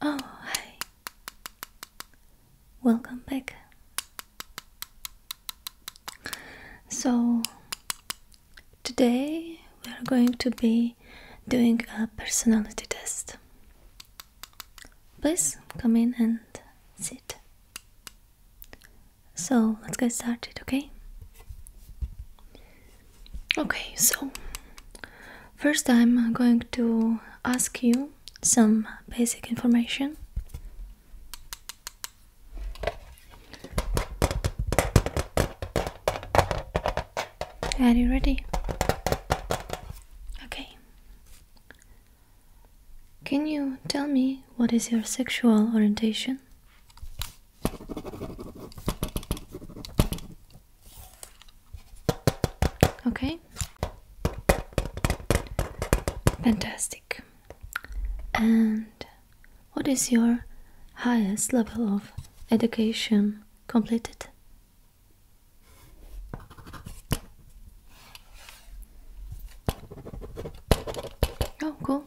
Oh, hi. Welcome back. So, today we are going to be doing a personality test. Please come in and sit. So let's get started, okay? Okay, so first I'm going to ask you some basic information. Are you ready? Okay. Can you tell me what is your sexual orientation? Okay? Fantastic. And what is your highest level of education completed? Oh, cool.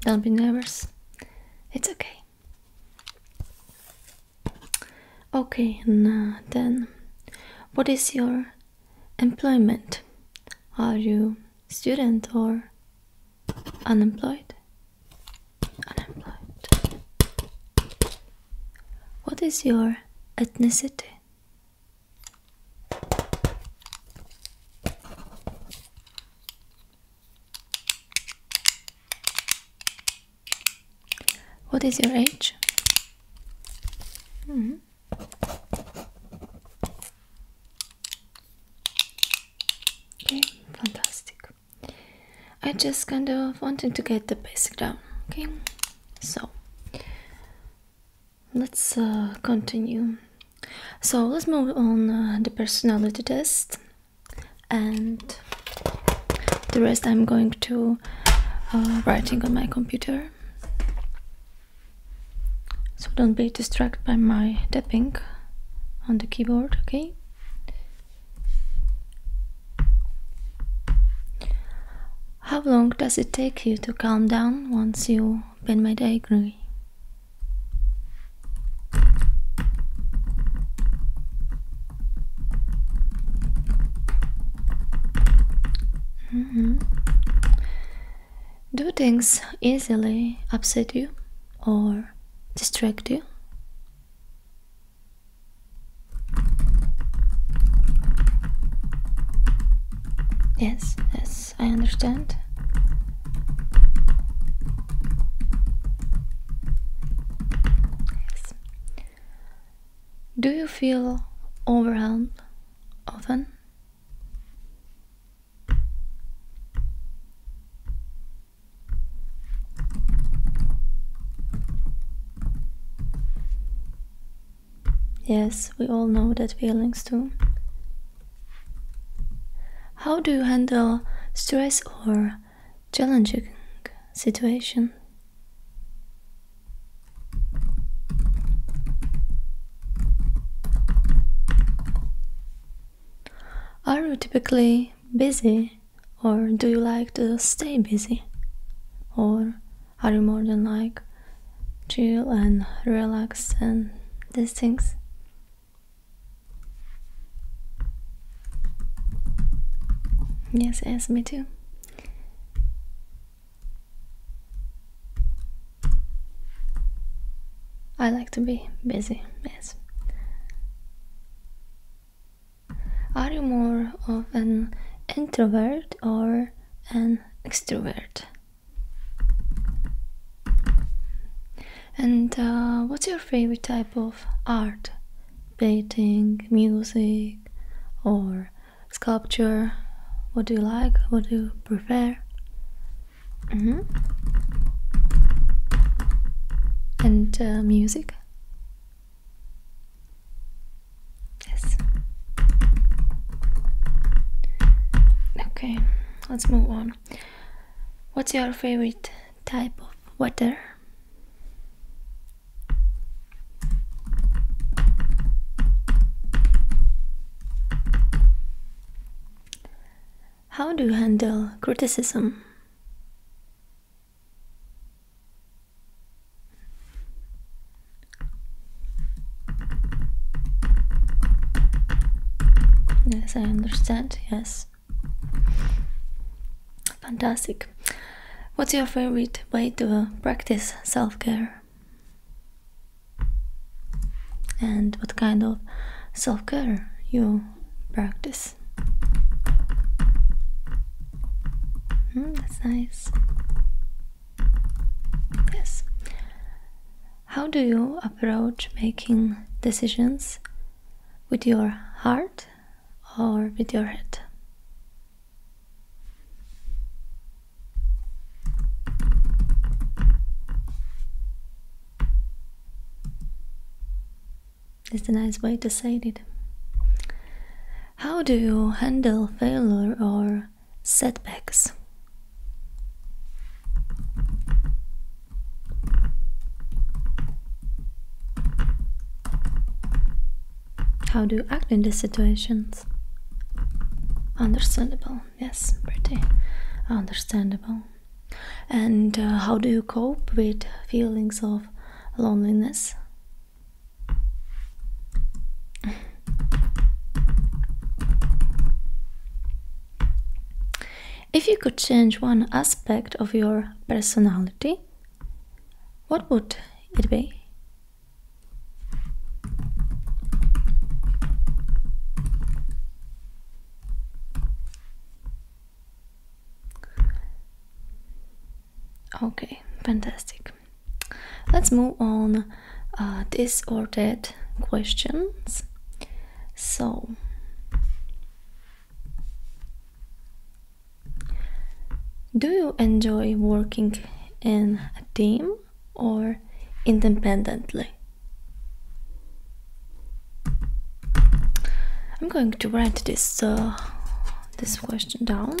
Don't be nervous. It's okay. Okay, now then, what is your employment? Are you student or unemployed? Unemployed. What is your ethnicity? What is your age? -hmm. Okay, fantastic. I just kind of wanted to get the basic down. Okay, so let's uh, continue. So let's move on uh, the personality test, and the rest I'm going to uh, writing on my computer. So don't be distracted by my tapping on the keyboard, okay? How long does it take you to calm down once you do things easily upset you or distract you? Yes, yes. I understand. Yes. Do you feel overwhelmed often? Yes, we all know that feelings too. How do you handle stress or challenging situation? Are you typically busy or do you like to stay busy? Or are you more than like chill and relax and these things? Yes, yes, me too. I like to be busy, yes. Are you more of an introvert or an extrovert? And uh, what's your favorite type of art? Painting, music, or sculpture? What do you like? What do you prefer? Mm-hmm. And uh, music? Yes. Okay, let's move on. What's your favorite type of water? How do you handle criticism? Yes, I understand. Yes. Fantastic. What's your favorite way to uh, practice self care? And what kind of self care you practice? Mm, that's nice. Yes. How do you approach making decisions? With your heart or with your head? It's a nice way to say it. How do you handle failure or setbacks. How do you act in these situations? Understandable, yes, pretty understandable. And uh, how do you cope with feelings of loneliness if you could change one aspect of your personality, what would it be? Okay, fantastic let's move on uh, this or that questions so do you enjoy working in a team or independently i'm going to write this uh, this question down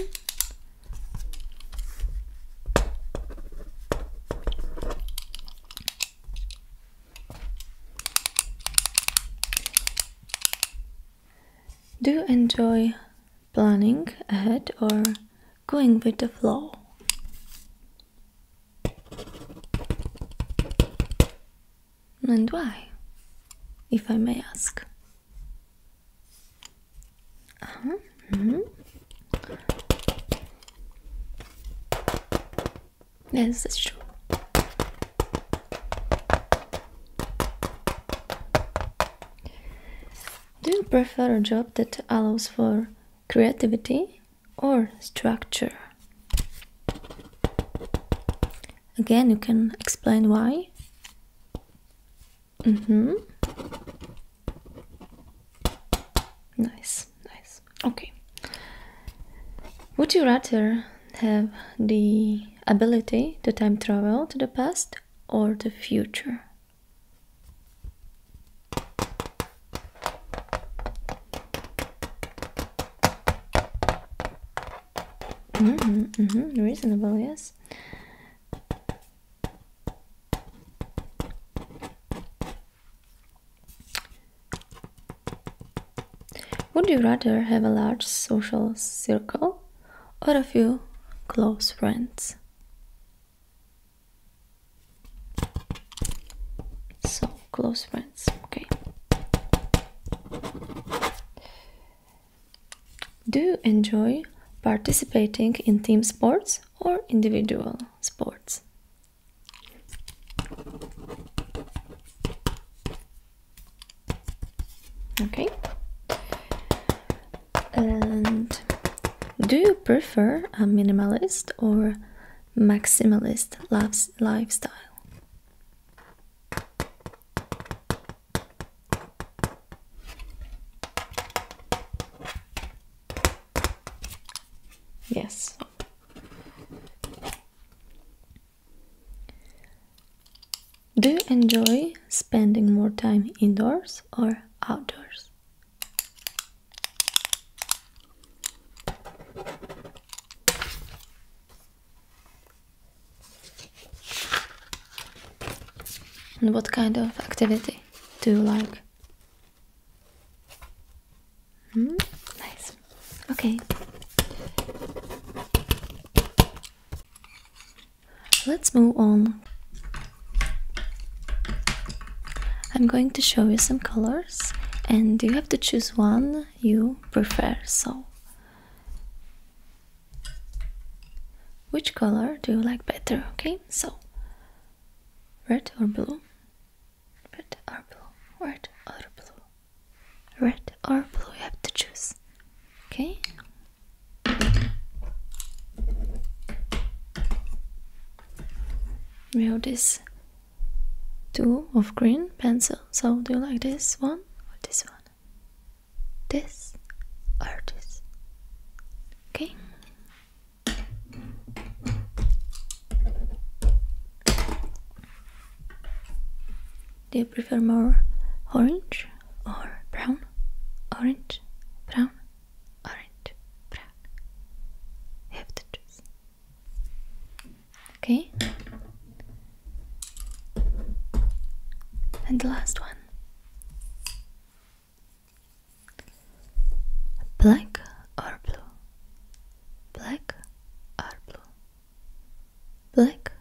do you enjoy planning ahead or going with the flow? And why, if I may ask? Uh huh. Mm-hmm. Yes, that's Do you prefer a job that allows for creativity or structure? Again, you can explain why. Mm-hmm. Nice, nice. Okay. Would you rather have the ability to time travel to the past or the future? Mm-hmm, mm-hmm, reasonable, yes. Would you rather have a large social circle or a few close friends? So, close friends, okay. Do you enjoy participating in team sports or individual sports? Okay. And do you prefer a minimalist or maximalist lifestyle? Yes. Do you enjoy spending more time indoors or outdoors? And what kind of activity do you like? Hmm, nice. Okay. Let's move on. I'm going to show you some colors and you have to choose one you prefer. So which color do you like better okay so red or blue red or blue red or blue red or blue you have to choose okay we have this two of green pencil so do you like this one or this one this or this. Okay. Do you prefer more orange or brown? Orange, brown, orange, brown. have to choose. Okay. And the last one. Black or blue? Black or blue? Black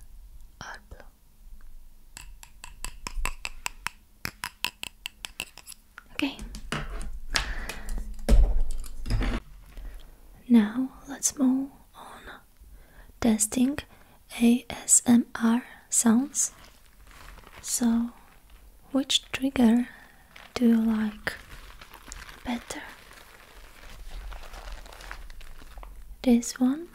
or blue? Okay. Now let's move on testing ASMR sounds. So, which trigger do you like better? This one?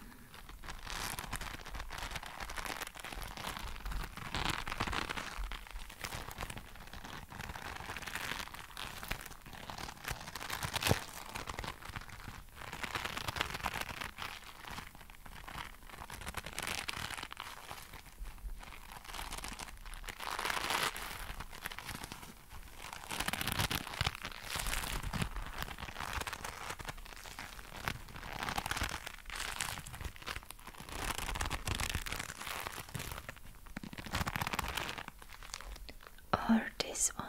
Or this one.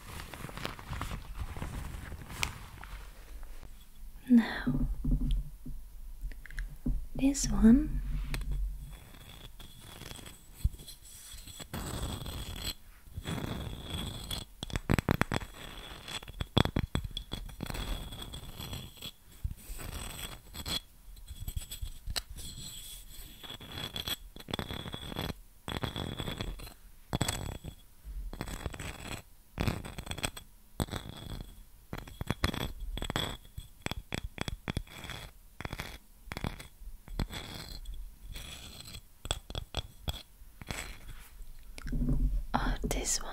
Now, this one Oh, this one.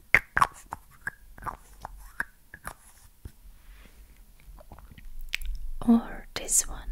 Or this one.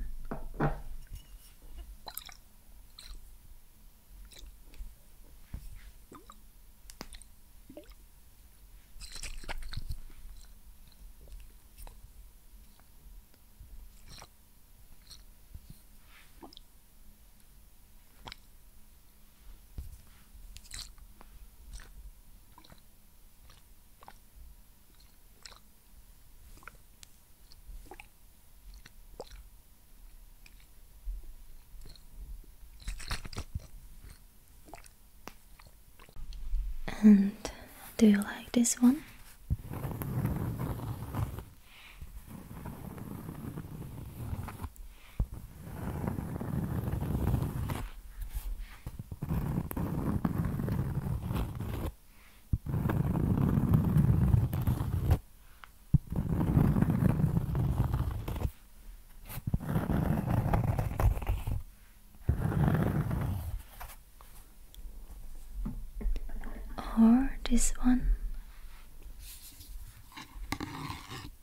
And do you like this one? Or this one.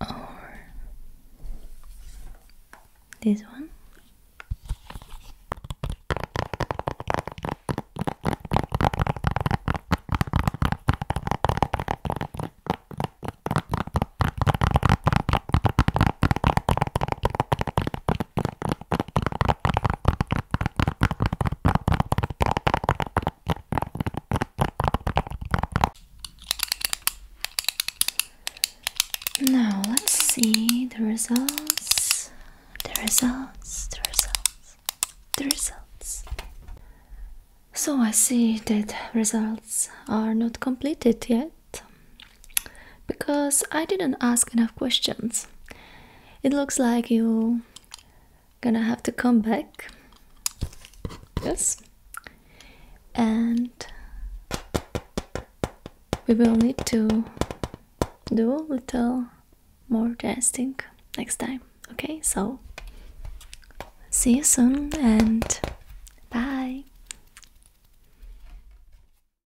or this one. Now let's see the results. The results, the results, the results. So I see that results are not completed yet because I didn't ask enough questions. It looks like you are gonna have to come back. Yes. And we will need to do a little more testing next time. Okay, so see you soon and bye.